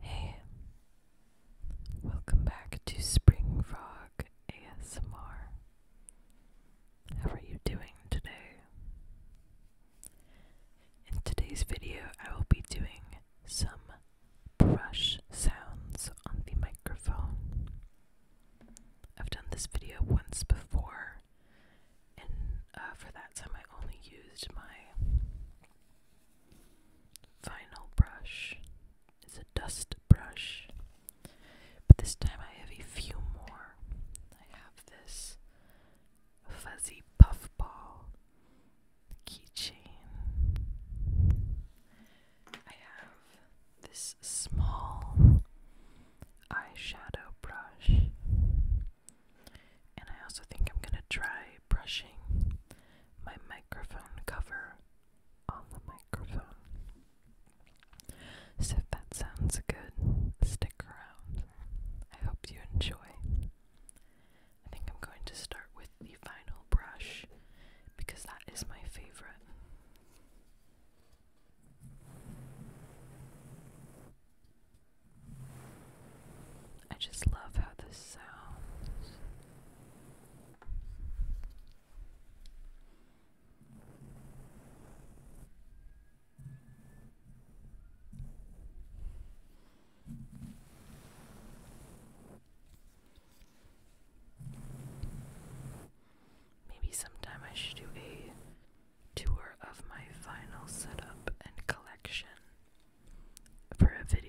Hey, welcome back to Spring Frog ASMR. How are you doing today? In today's video, I will be doing some brush sounds on the microphone. I've done this video once before, and uh, for that time, I only used my final brush is a dust brush, but this time I have a few more. I have this fuzzy puffball keychain. I have this small eyeshadow brush. And I also think I'm going to try brushing my microphone cover on the microphone. So if that sounds good, stick around. I hope you enjoy. I think I'm going to start with the final brush because that is my favorite. I just love how this sounds. Maybe sometime I should do a tour of my vinyl setup and collection for a video.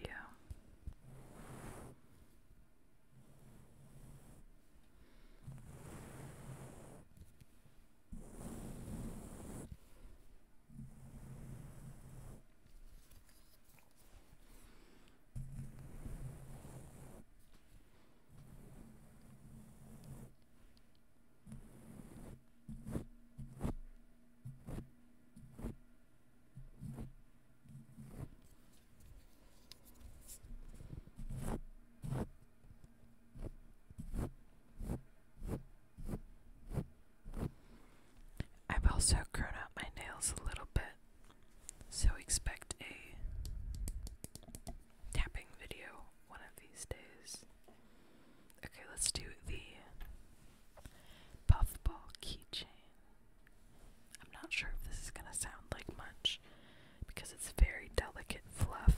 I've also grown out my nails a little bit, so expect a tapping video one of these days. Okay, let's do the puffball keychain. I'm not sure if this is going to sound like much because it's very delicate fluff.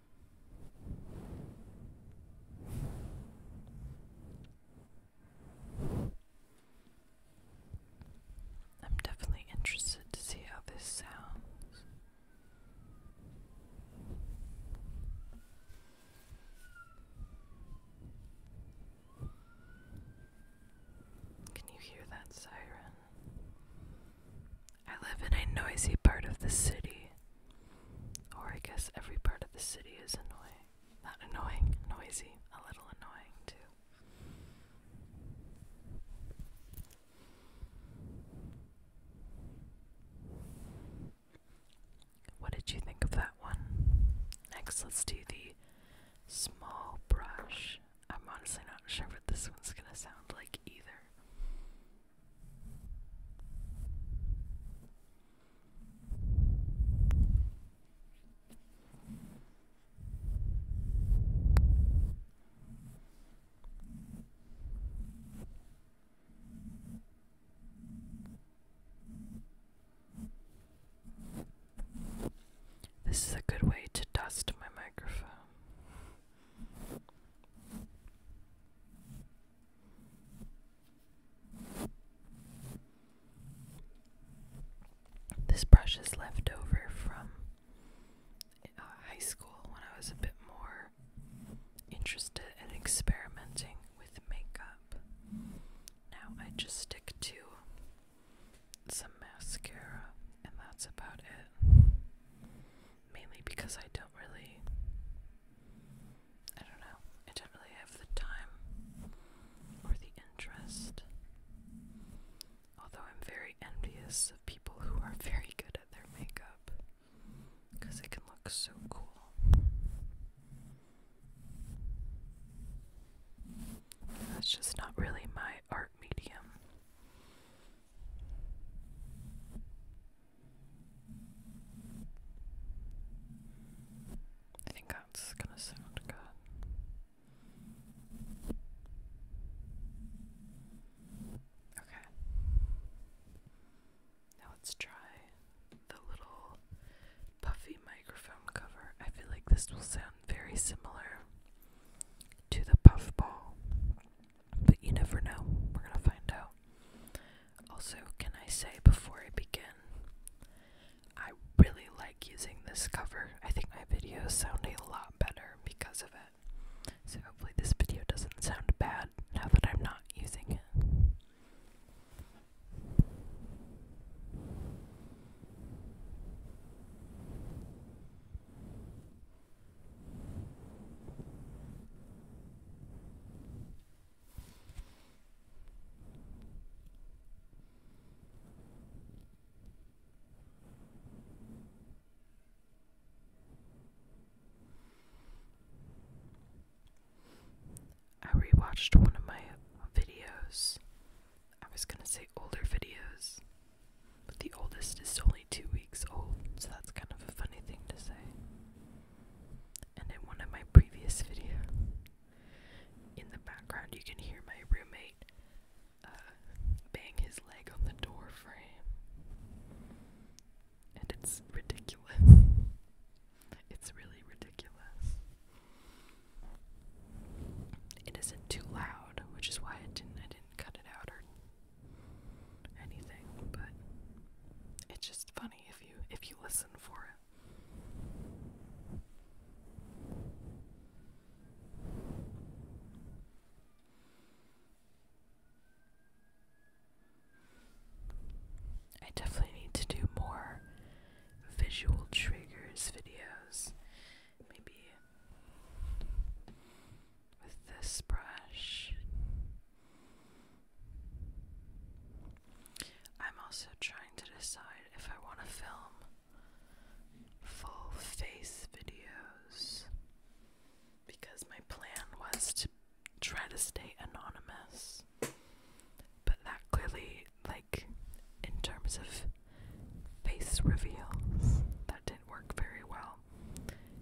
I'm definitely interested to see how this sounds. Can you hear that siren? I live in a noisy part of the city. Or I guess every part of the city is annoying. Not annoying, noisy, a little annoying too. What did you think of that one? Next, let's do the small brush. I'm honestly not sure what this one's gonna sound like either. This is a good way to dust my microphone. This brush is left over from uh, high school when I was a bit more interested in experimenting with makeup. Now I just stick to some mascara, and that's about it. Mainly because I don't really I don't know. I didn't really have the time or the interest. Although I'm very envious of people who are very good at their makeup because it can look so cool. That's just not really my art medium. I think that's gonna sound good. Okay. Now let's try the little puffy microphone cover. I feel like this will sound very similar to the puffball, but you never know. We're gonna find out. Also, can I say before I begin, I really like using this cover. I think my videos sound a lot better because of it. So, hopefully, this video doesn't sound bad now that I'm not using it. I rewatched one of my videos. I was gonna say older videos, but the oldest is only two weeks old, so that's kind of a funny thing to say and in one of my previous videos, in the background you can hear my roommate uh, bang his leg on the door frame. And it's ridiculous. it's really ridiculous. It isn't too loud, which is why I didn't I didn't cut it out or anything, but it's just funny if you if you listen for it. I definitely need to do more visual triggers videos. Maybe with this brush. I'm also trying to decide if I want to film full face videos because my plan was to try to stay anonymous. But that clearly, like, in terms of face reveals, that didn't work very well.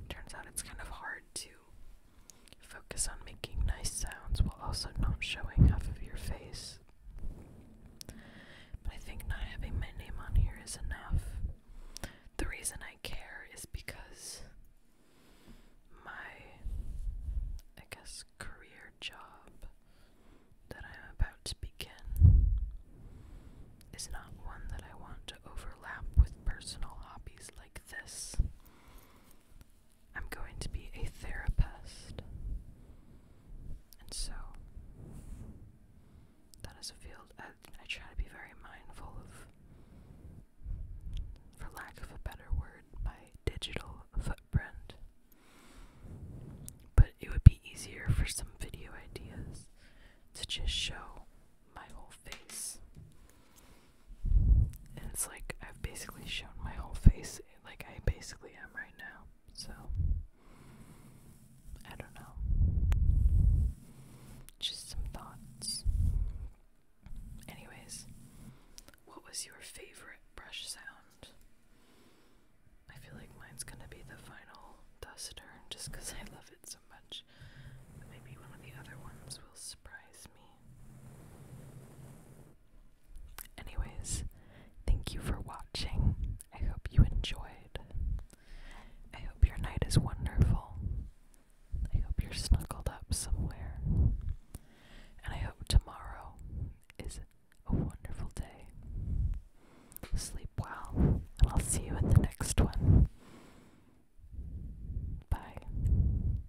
Turns out it's kind of hard to Focus on making nice sounds while also not showing half of your face. But I think not having my name on here is enough. The reason I care is because my, I guess, career job that I'm about to begin is not one that I want to overlap with personal hobbies like this. I'm going to be a therapist. And so, that is a field uh, I, try to be very mindful of, for lack of a better word, my digital footprint. But it would be easier for some video ideas to just show my whole face it's like I've basically shown my whole face like I basically am right now. So I don't know. Just some thoughts. Anyways, what was your favorite brush sound? I feel like mine's gonna be the final duster just because I love it so much. maybe one of the other ones will Anyways, thank you for watching. I hope you enjoyed. I hope your night is wonderful. I hope you're snuggled up somewhere. And I hope tomorrow is a wonderful day. Sleep well, and I'll see you in the next one. Bye.